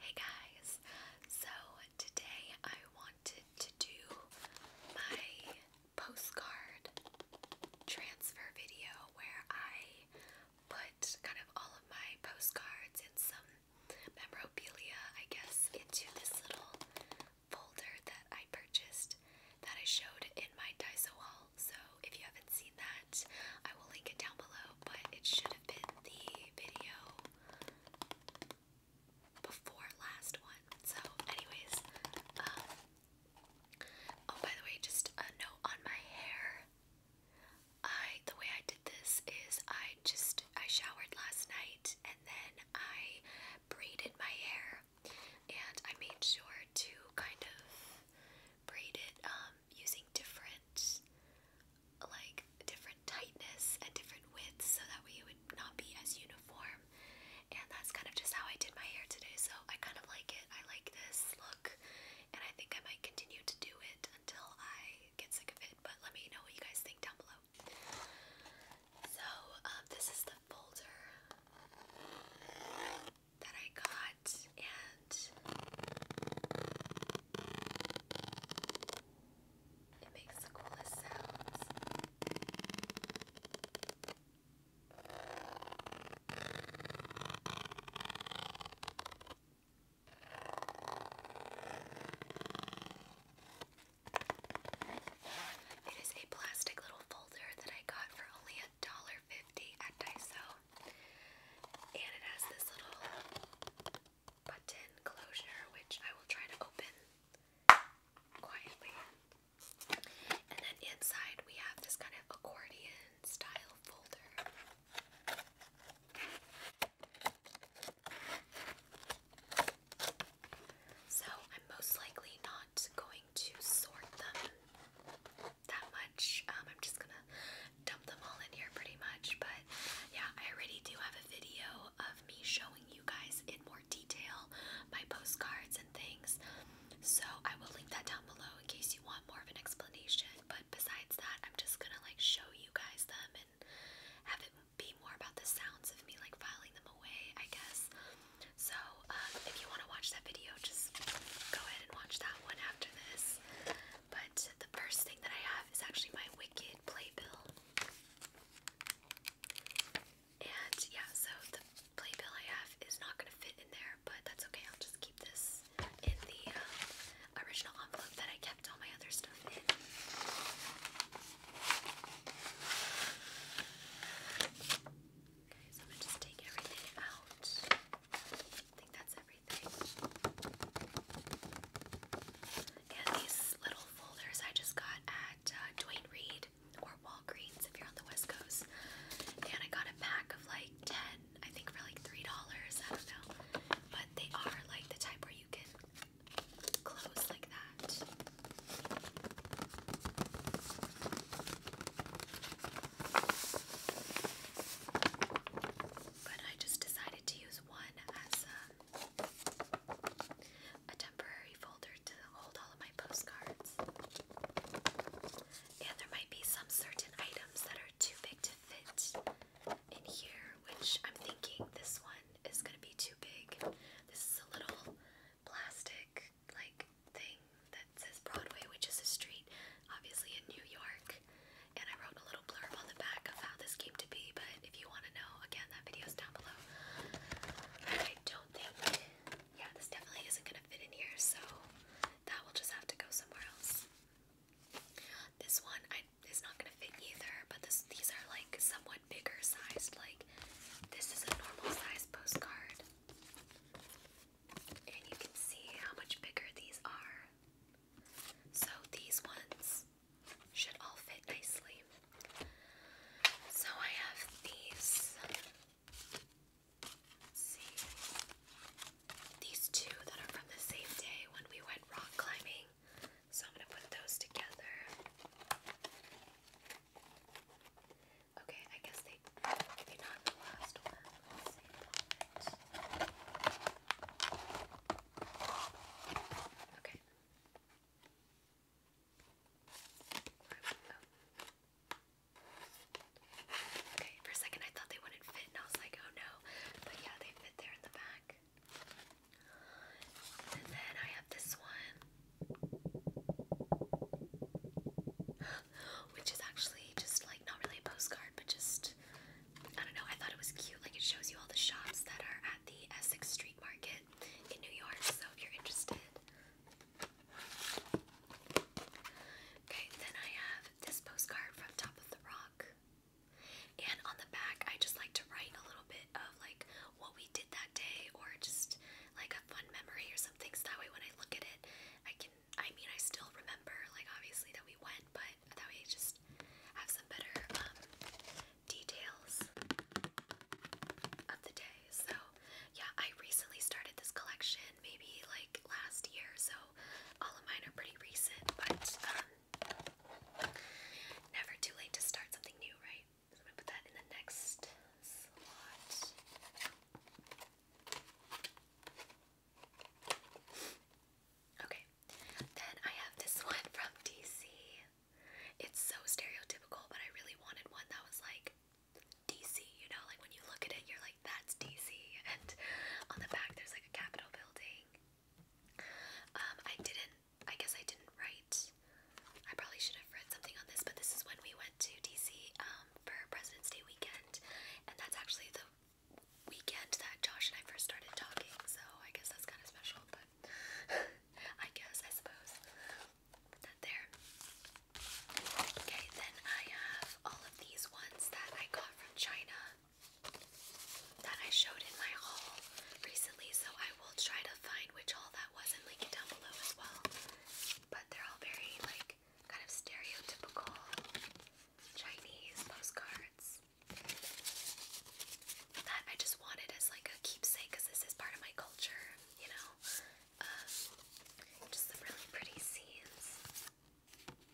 Hey guys, so today I wanted to do my postcard transfer video where I put kind of all of my postcards and some memorabilia, I guess, into this little folder that I purchased that I showed in my Daiso haul. So if you haven't seen that, I will link it down below, but it should have been the video before last one. So, anyways, um, oh, by the way, just a note on my hair. I the way I did this is I just I showered last night and then I braided my hair and I made sure to kind of braid it um, um, using different like different tightness and different widths so that way it would not be as uniform and that's kind of just how I did my hair today so I kind of like it I like this look and I think I might continue to do it until I get sick of it but let me know what you guys think down below so um, this is the folder that I got and it makes the coolest sounds. It is a plastic little folder that I got for only a dollar fifty at Daiso. And it has this little button closure, which I will try to open quietly. And then inside we have this kind of accordion style folder. So I'm most likely not going to sort them that much. Um, I'm just gonna dump them all in here pretty much. But yeah, I already do have a video of me showing you guys in more detail my postcards and things. So I will link that down below in case you want more of an explanation. But besides that, I'm just gonna like show you guys them and have it be more about the sounds of me like filing them away, I guess. So um, if you want to watch that video, just go ahead and watch that one after this. But the first that I have is actually my Wicked playbill. And yeah, so the playbill I have is not going to fit in there, but that's okay. I'll just keep this in the um, original envelope that I kept all my other stuff in. Okay, so I'm going to just take everything out. I think that's everything everything. And these little folders I just got at uh, Dwayne Reed or Walgreens if you're on the West Coast. And I got a pack of like 10, I think for like $3. I don't know. But they are like the type where you can close like that but I just decided to use one as um, a, temporary folder to hold all of my postcards. And there might be some certain items that are too big to fit in here, which I'm thinking this one is going to be too big. This is a little plastic like thing that says Broadway, which is a street, obviously in New York and I wrote a little blurb on the back of how this came to be. But if you want to know, again, that video is down below. I don't think, yeah, this definitely isn't gonna fit in here, so that will just have to go somewhere else. This one I, is not gonna fit either, but these are like somewhat bigger sized. Like this is a normal size postcard, and you can see how much bigger these are. So these ones should all fit nicely. So I have these. see. These two that are from the same day when we went rock climbing. So I'm gonna put those together. Okay, I guess they maybe not the last one. Okay. Okay, for a second I thought they wouldn't fit and I was like, oh no. But yeah, they fit there in the back. And then I have this one. Which is actually just like not really a postcard, but just I don't know, I thought it was cute. Like it shows you all the shops that are at the Essex Street Market in New York, so if you're interested. Okay, then I have this postcard from Top of the Rock. And on the back, I just like to write a little bit of like what we did that day or just like a fun memory or something. So that way when I look at it, I can I mean, I still remember, like, obviously that we went, but that we just have some better um, details of the day. So, yeah, I recently started this collection, maybe like last year, so all of mine are pretty recent, but um, never too late to start something new, right? I'm gonna put that in the next slot. Okay, then I have this one from DC. It's so stereotypical, but I really wanted one that was like DC, you know, like when you look at it, you're like, that's DC. And on the back, there's like a Capitol building. Um, I didn't, I guess I didn't write, I probably should have read something on this, but this is when we went to DC um, for President's Day weekend. And that's actually the weekend that Josh and I first started talking, so I guess that's kind of special, but I guess, I suppose. Put that there. Okay, then I have all of these ones that I got from China that I showed in my haul recently, so I will try to find which haul that was and link it down below as well. But they're all very, like, kind of stereotypical Chinese postcards that I just wanted as like a keepsake because this is part of my culture, you know. Um, just some really pretty scenes.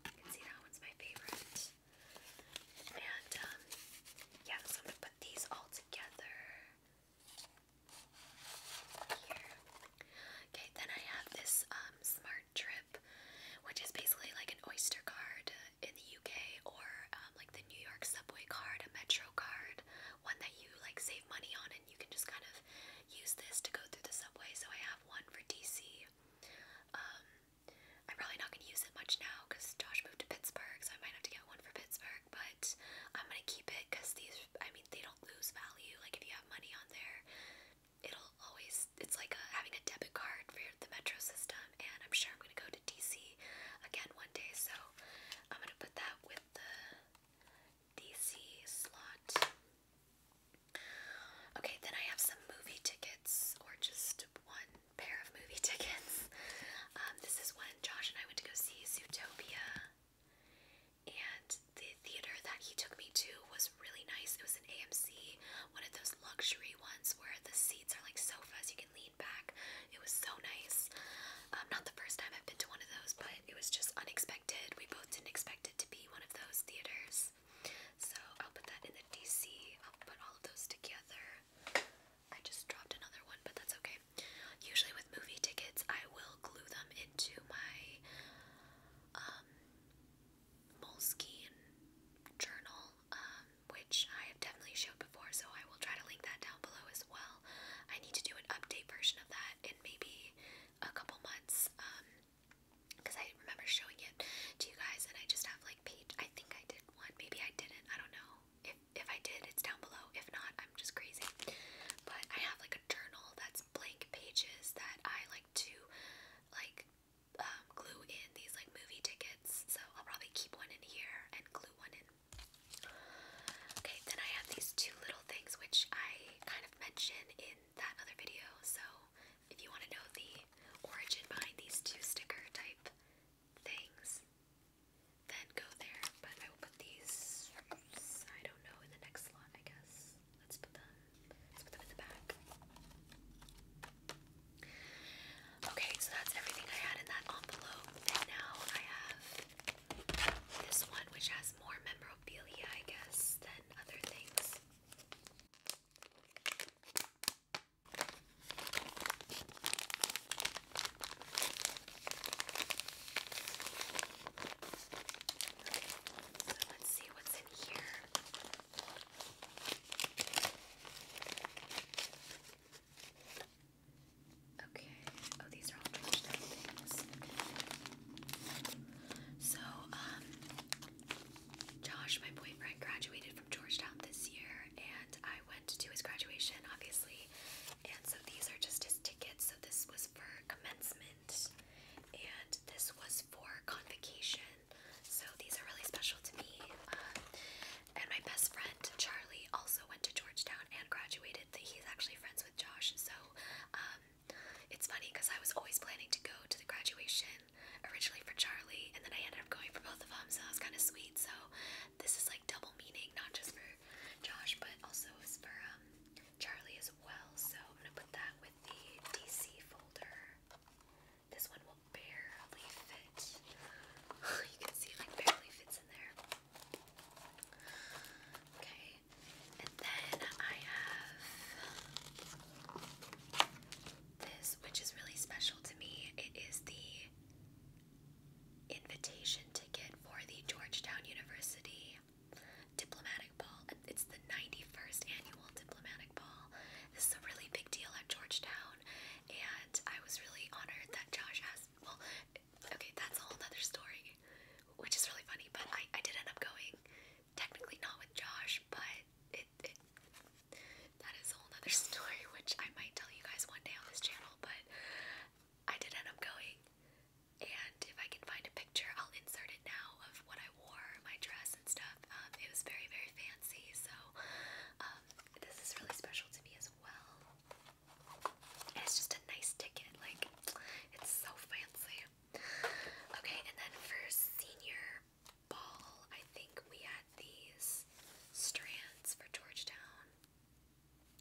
You can see that one's my favorite. And um, yeah, so I'm gonna put these all together here. Okay, then I have this um, smart trip, which is basically like an Oyster card in the UK or um, like the New York subway card, a Metro card, one that you like save money on and you can just kind of use this to go through the subway. So I have one for DC. Um, I'm probably not going to use it much now because Josh moved to Pittsburgh, so I might have to get one for Pittsburgh, but I'm going to keep it because these, I mean, they don't lose value. Like if you have money on there, it'll always it's like having a debit card for the metro system and i'm sure i'm going to go to dc again one day so i'm going to put that with the dc slot okay then i have some movie tickets or just one pair of movie tickets um, this is when josh and i went to go see zootopia and the theater that he took me to was really nice. It was an AMC, one of those luxury ones where the seats are like sofas, you can lean back. It was so nice. Um, not the first time I've been to one of those, but it was just unexpected. We both didn't expect it to be one of those theaters. So I'll put that in the DC. I'll put all of those together. I just dropped another one, but that's okay. Usually with movie tickets, I will glue them into my um, Moleskine journal, um, which I have definitely showed before, so I will try to link that down below as well. I need to do an update version of that in maybe a couple months, because um, I remember showing it to you guys, and I just have like page. I think I did one, maybe I didn't. I don't know. If if I did, it's down below. If not, I'm just crazy. But I have like a journal that's blank pages that I like to like um, glue in these like movie tickets, so I'll probably keep one in here and glue one in. Okay, then I have these two little things which I kind of mentioned in that other video, so if you want to know the origin behind these two sticker type things, then go there. But I will put these, I don't know, in the next slot, I guess. Let's put them Let's Okay, so that's everything I had in that envelope. now I have this one, which has more memorabilia, I guess, than other things. So let's see what's in here. Okay. Oh, these are all touchdown things. So, um, Josh, my boyfriend, graduated from Georgetown this year, and I went to his graduation, obviously. And so these are just his tickets. So this was for commencement. And this was for convocation, so these are really special to me. Um, and my best friend Charlie also went to Georgetown and graduated. He's actually friends with Josh, so um, it's funny because I was always planning to go to the graduation originally for Charlie, and then I ended up going for both of them, so it was kind of sweet. So this is like double meaning, not just for Josh, but also for um, Charlie as well, so I'm gonna put that with the DC folder. This one will barely fit. you can see like barely fits in there. Okay, and then I have this, which is really special to me. It is the invitation ticket for the Georgetown University Diplomatic Ball. It's the 91st annual Diplomatic Ball. This is a really big deal at Georgetown, and I was really honored that Josh asked. Well, okay, that's a whole other story, which is really funny, but I, I did end up going. Technically, not with Josh, but it, it that is a whole other story, which I might tell you guys one day on this channel, but I did end up going and if I can find a picture, I'll insert it now of what I wore, my dress and stuff. Um, it was very, very fancy, so um, this is really special to me as well. And it's just a nice ticket, like it's so fancy. Okay, and then for senior ball, I think we had these strands for Georgetown.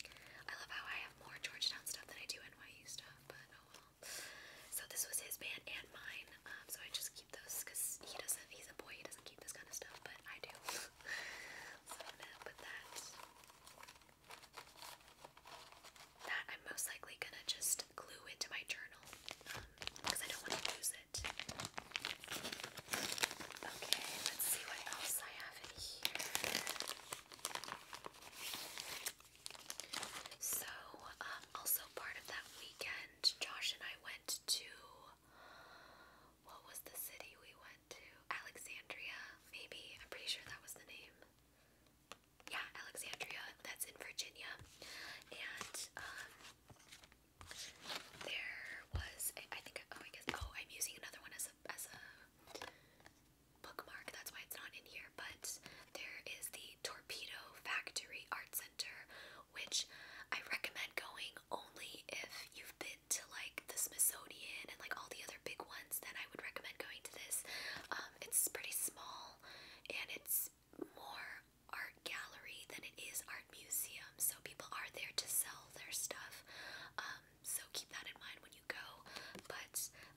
I love how I have more Georgetown stuff than I do NYU stuff, but oh well. So this was his band and mine, um, so I just keep those because he doesn't, he's a boy, he doesn't keep this kind of stuff, but I do. so I'm gonna put that. That I'm most likely gonna just glue into my journal because um, I don't want to lose it. Okay, let's see what else I have in here. So, um, also part of that weekend, Josh and I went to what was the city we went to? Alexandria, maybe. I'm pretty sure that was the name. Yeah, Alexandria. That's in Virginia. And um, there was, a, I think, oh, I guess, oh, I'm using another one as a, as a bookmark, that's why it's not in here, but there is the Torpedo Factory Art Center, which I recommend going only if you've been to like the Smithsonian and like all the other big ones, then I would recommend going to this. Um, it's pretty small and it's more art gallery than it is art museum, so people are there to sell their stuff. Um, so keep that in mind when you go. But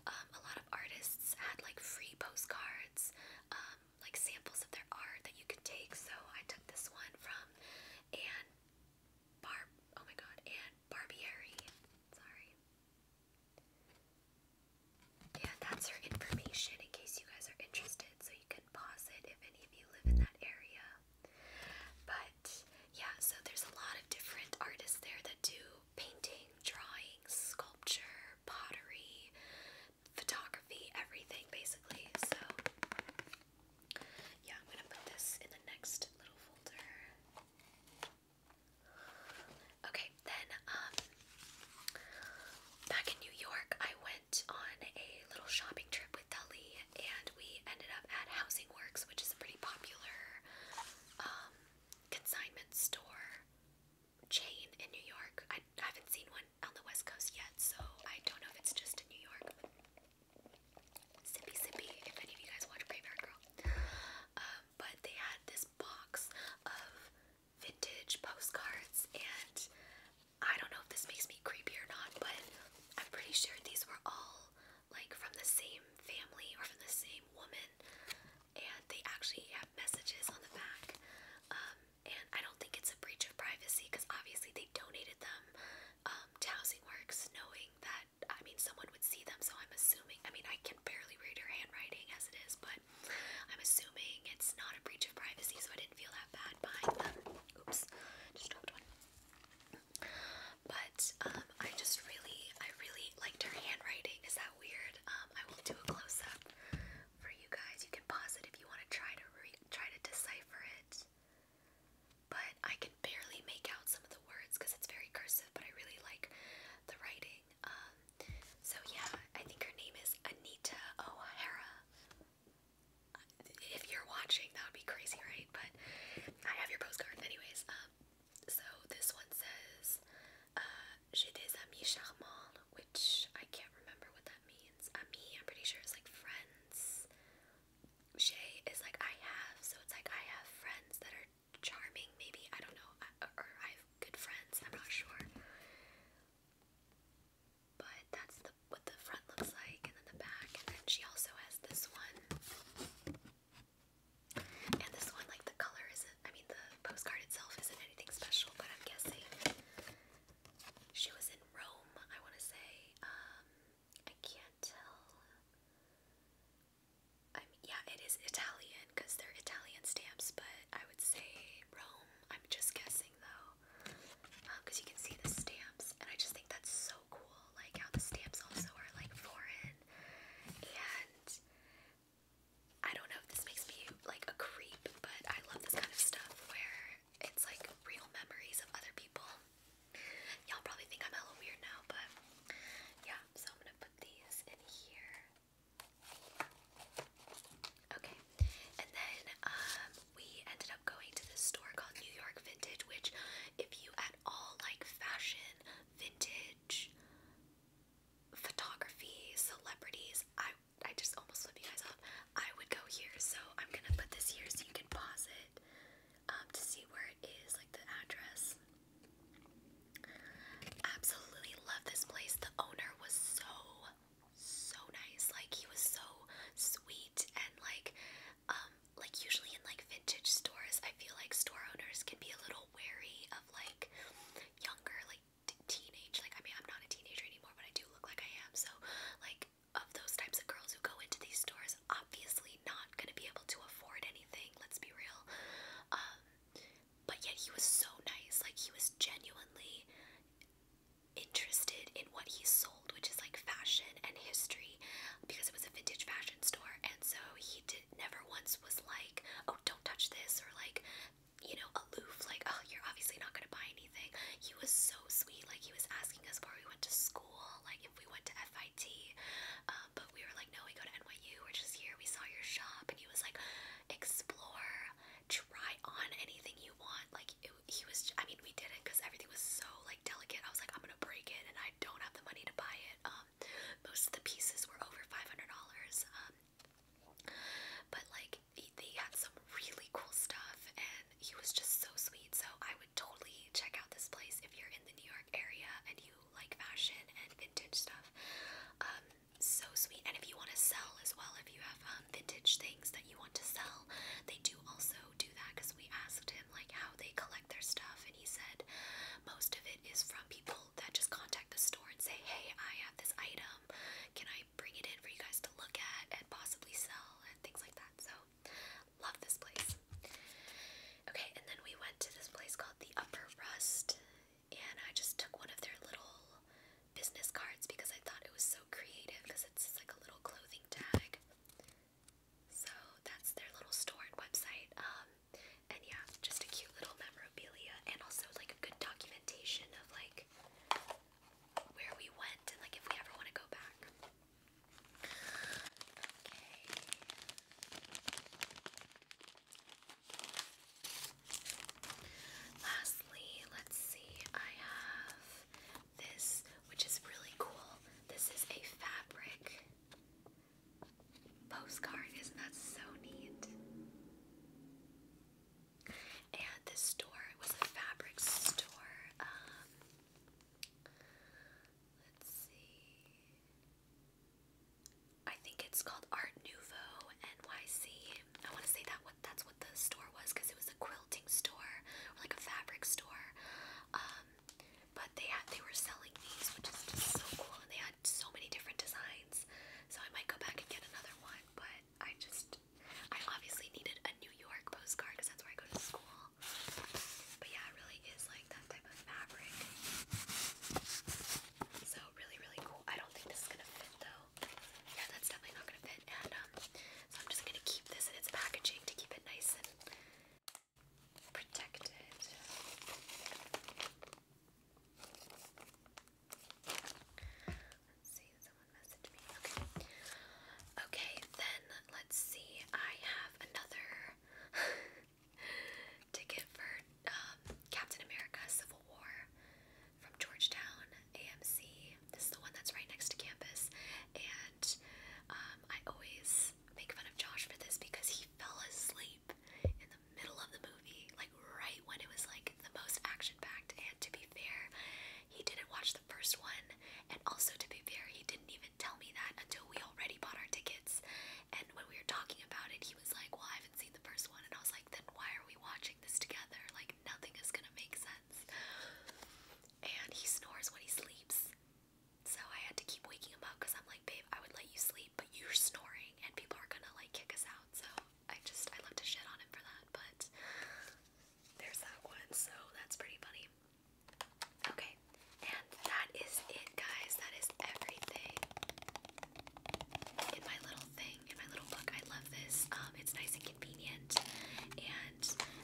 um, a lot of artists had like free postcards, um, like samples of their art that you could take. So I took this one from Anne Barb. Oh my God, Anne Barbieri. Sorry. Yeah, that's her information in case you guys are interested. So you can pause it if any of you live in that area. But yeah, so there's a lot of different artists there that do painting, drawing, sculpture, pottery, photography, everything basically. So, yeah, I'm gonna put this in the next little folder. Okay, then, um, back in New York, I went on a little shopping trip with Dali, and we ended up at Housing Works, which is a pretty popular um, consignment store chain in New York. I haven't seen one on the West Coast yet, so I don't know if it's just in New York. Sippy Sippy, if any of you guys watch Graveyard Girl. Um, but they had this box of vintage postcards, and I don't know if this makes me creepy or not, but I'm pretty sure these were all like from the same family or from the same woman, and they actually have messages on the back. Um, and I don't think it's a breach of privacy because obviously they donated them um, to Housing Works, knowing that I mean someone would see them. So I'm assuming. I mean, I can barely read her handwriting as it is, but I'm assuming it's not a breach of privacy. So I didn't feel that bad buying them. Oops, just dropped one. But um, I just really, I really liked her handwriting. Is that weird? Um, I will do a close up for you guys. You can pause it if you want to try to try to decipher it. But I can barely make out some of the words because it's very cursive. But I really like the writing. Um, so yeah, I think her name is Anita O'Hara. If you're watching, that would be crazy, right? But I have your postcard, anyways. So this one says, uh, J'ai des amis charmants, which I can't remember what that means. Ami, I'm pretty sure it's like friends. "She" is like I have, so it's like I have friends that are charming, maybe. I don't know. or I have good friends, I'm not sure. But that's the what the front looks like, and then the back. And then she also has this one. And this one, like the color isn't, I mean, the postcard itself isn't anything special, but I'm guessing she was in Rome, I want to say. Um, I can't tell. i yeah, it is Italian because they're Italian stamps, but I would say Rome. I'm just guessing though, because um, you can see the stamps, and I just think that's so cool like how the stamps also are like foreign. And I don't know this makes me like a creep, but I love this kind of stuff where it's like real memories of other people. Y'all probably think I'm hella weird now, but yeah, so I'm gonna put these in here. Okay, and then um, we ended up going to this store called New York Vintage, which if you at all like fashion, vintage, photography, celebrities, I I just almost flipped you guys off. I would go here, so I'm gonna put this here so you can pause it um, to see where it is, like the address. Absolutely love this place. The owner was so so nice. Like he was so sweet and like um, like usually in like vintage stores, I feel like store owners can be a little wary of like younger, like teenage. Like I mean, I'm not a teenager anymore, but I do look like I am. So like of those types of girls who go into these stores, obviously not gonna be able to afford anything. Let's be real. Um, but yet he was so nice. Like he was genuinely interested in what he sold, which is like fashion and history because it was a vintage fashion store, and so he did never once was like, "Oh, don't touch this," or like, you know, aloof, like, "Oh, you're obviously not gonna buy anything." He was so sweet. Like he was asking us where we went to school, like if we went to FIT, uh, but we were like, "No, we go to NYU. We're just here. We saw your shop," and he was like, "Explore." try on anything you want like he was i mean we did not because everything was so like delicate i was like i'm gonna break it and i I don't have the money to buy it. Um, most of the pieces were over five hundred dollars. Um, but like they had some really cool stuff, and he was just so sweet. So I would totally check out this place if you're in the New York area and you like fashion and vintage stuff. Um, so sweet. And if you want to sell as well, if you have um, vintage things that you want to sell, they do also do that because we asked him him like how they collect their stuff and he said most of it is from people that just contact the store and say, "Hey, I have this item. Can I bring it in for you guys to look at and possibly sell and things like that?" So, love this place. Okay, and then we went to this place called the Upper Rust, and I just took one of their little business cards because I thought it was so creative because it's like a little clothing tag. So that's their little store and website. Um, and yeah, just a cute little memorabilia and also like a good documentation of like where we went and like if we ever want to go back. Lastly, let's see, I have this, which is really cool. This is a fabric postcard. Isn't that so neat? And this store was a fabric store. Um, let's see. I think it's called Art Nouveau NYC. I want to say that what that's what the store was because it was a quilting store or like a fabric store. Um, but they had they were selling these, which is so cool, and they had so many different designs. So I might go back and get another one, but I just I obviously needed a New York postcard because that's where I go to school. But yeah, it really is like that type of fabric. So really, really cool. I don't think this is gonna fit though. Yeah, that's definitely not gonna fit. And um, so I'm just gonna keep this in its packaging to keep it nice and protected. Okay. then let's see. I have another ticket for um, Captain America Civil War from Georgetown AMC. This is the one that's right next to campus and um, I always make fun of Josh for this because he fell asleep in the middle of the movie, like right when it was like the most action-packed. And to be fair, he didn't watch the first one, and also to be fair, he didn't even tell me that until we already bought our tickets. And when we were talking about it, he was like, "Well, I haven't seen the first one," and I was like, "Then why are we watching this together? Like nothing is gonna make sense." And he snores when he sleeps. So I had to keep waking him up because I'm like, babe, I would let you sleep, but you're snoring and people are gonna like kick us out. So I just, I love to shit on him for that, but there's that one. So that's pretty funny. Okay, and that is it, guys. That is everything in my little thing, in my little book. I love this. Um, it's nice and convenient, and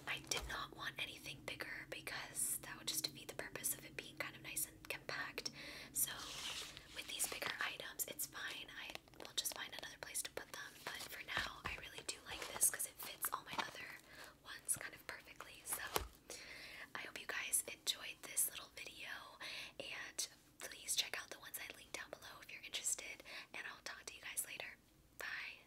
I did not want anything bigger because that would just defeat the purpose of it being kind of nice and compact. So with these bigger items, it's fine. I will just find another place to put them. But for now, I really do like this because it fits all my other ones kind of perfectly. So I hope you guys enjoyed this little video and please check out the ones I linked down below if you're interested and I'll talk to you guys later. Bye!